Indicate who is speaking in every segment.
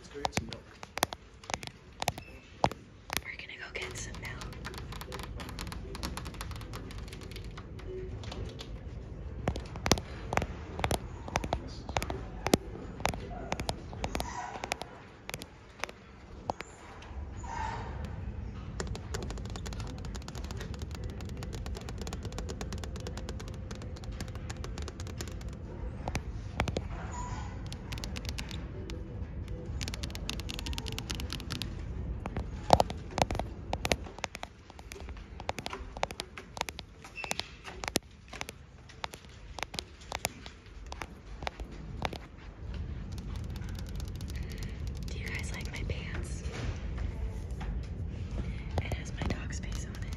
Speaker 1: It's great to milk. We're gonna go get some milk. Do you guys like my pants? It has my dog's face on it.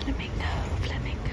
Speaker 1: Flamingo, flamingo.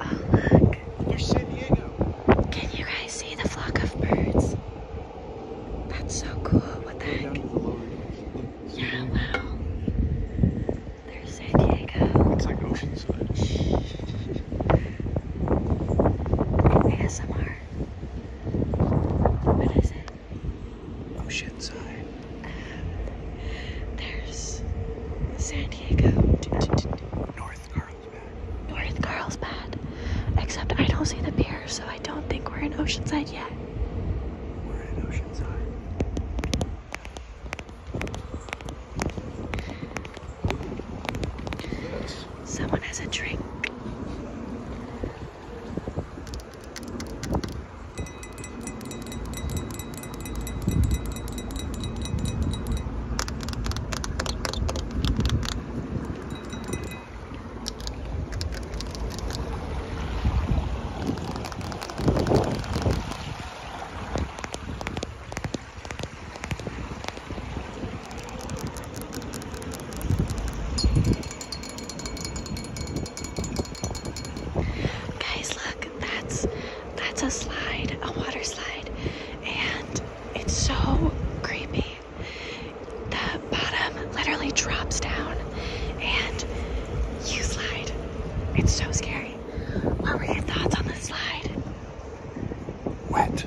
Speaker 1: Oh, look. Can you guys see the flock of birds? That's so cool. What the heck? Yeah, wow. There's San Diego. It's like Oceanside. ASMR. What is it? Oceanside. Um, there's San Diego. North Carlsbad. North Carlsbad. Except I don't see the pier, so I don't think we're in Oceanside yet. Someone has a drink. Guys, look, that's that's a slide, a water slide, and it's so creepy the bottom literally drops down and you slide. It's so scary. What were your thoughts on the slide? Wet.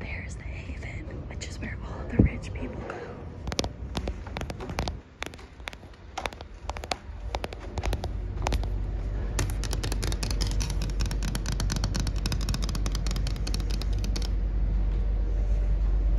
Speaker 1: There's the Haven, which is where all the rich people go.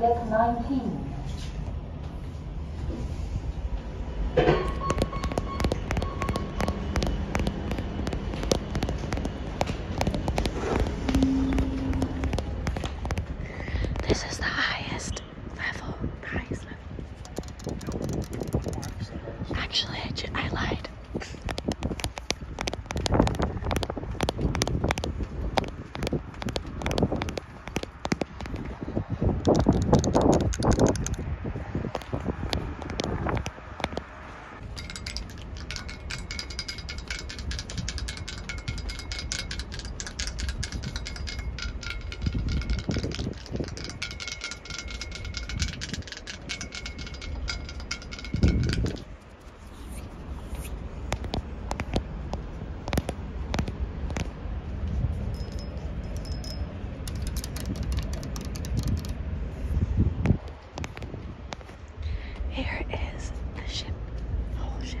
Speaker 1: Deck 19. This is the highest level. The Actually, I lied. Here is the ship, the whole ship.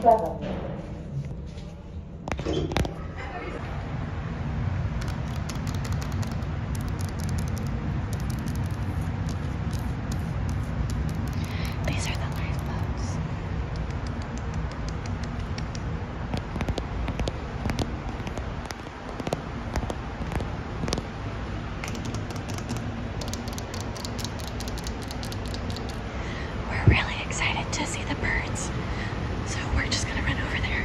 Speaker 1: seven. These are the lifeboats. We're really excited to see the birds, so we're just gonna run over there.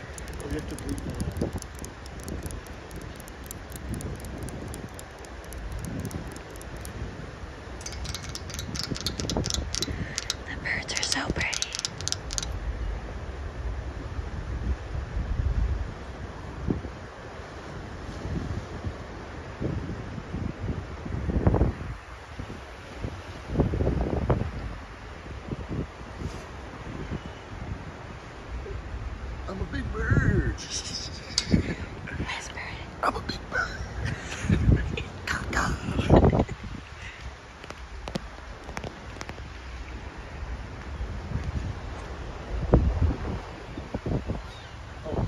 Speaker 1: Forget to keep them The birds are so pretty. I'm a big bird. Nice I'm a big bird. Caca. oh,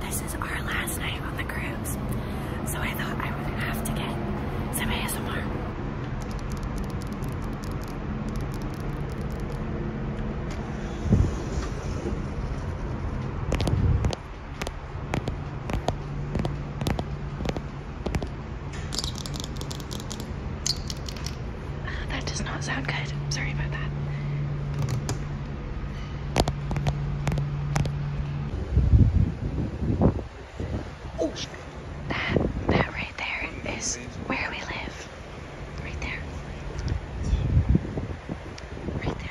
Speaker 1: This is our last night on the cruise, so I thought I would have to get some ASMR. that does not sound good. Sorry about that. Oh, that, that right there is where we live. Right there. Right there.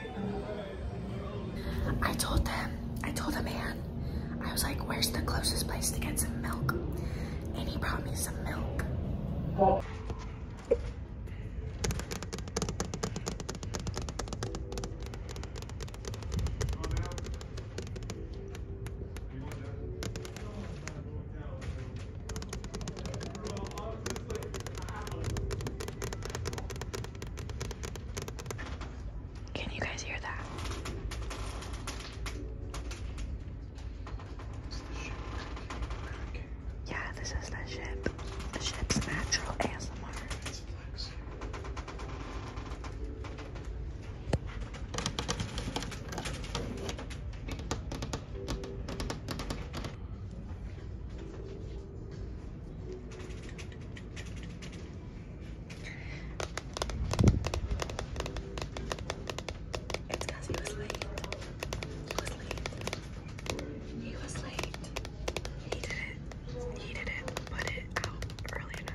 Speaker 1: I told them, I told the man, I was like, where's the closest place to get some milk? And he brought me some milk. Can you guys hear that? Yeah, this is the ship. The ship's natural ASMR. It's because he was late. He was late. He was late. He didn't. He didn't put it out early enough.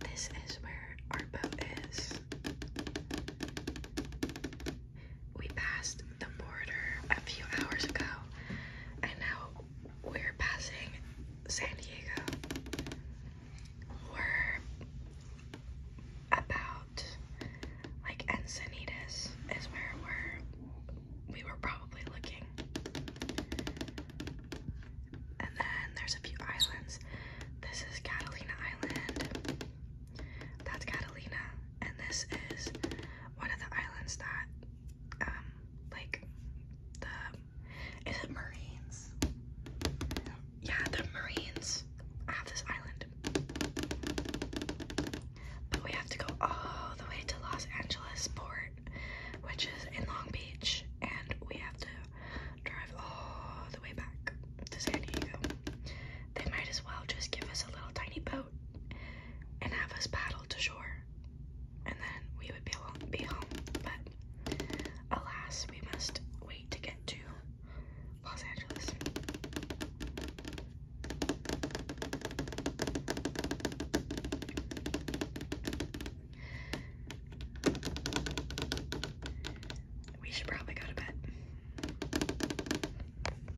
Speaker 1: This is where our boat is we passed the border a few hours ago, and now we're passing San Diego. We're about like Encinitas is where we're we were probably looking. And then there's a few islands. This is Catalina Island. That's Catalina. And this is one of the islands that, um, like the is it Marines? Yeah, the Marines have this island, but we have to go all the way to Los Angeles Port, which is in Long Beach, and we have to drive all the way back to San Diego. They might as well just give us a little tiny boat and have us paddle to shore, and then we would be, alone, be home. But alas, we must wait to get to Los Angeles. We should probably go to bed.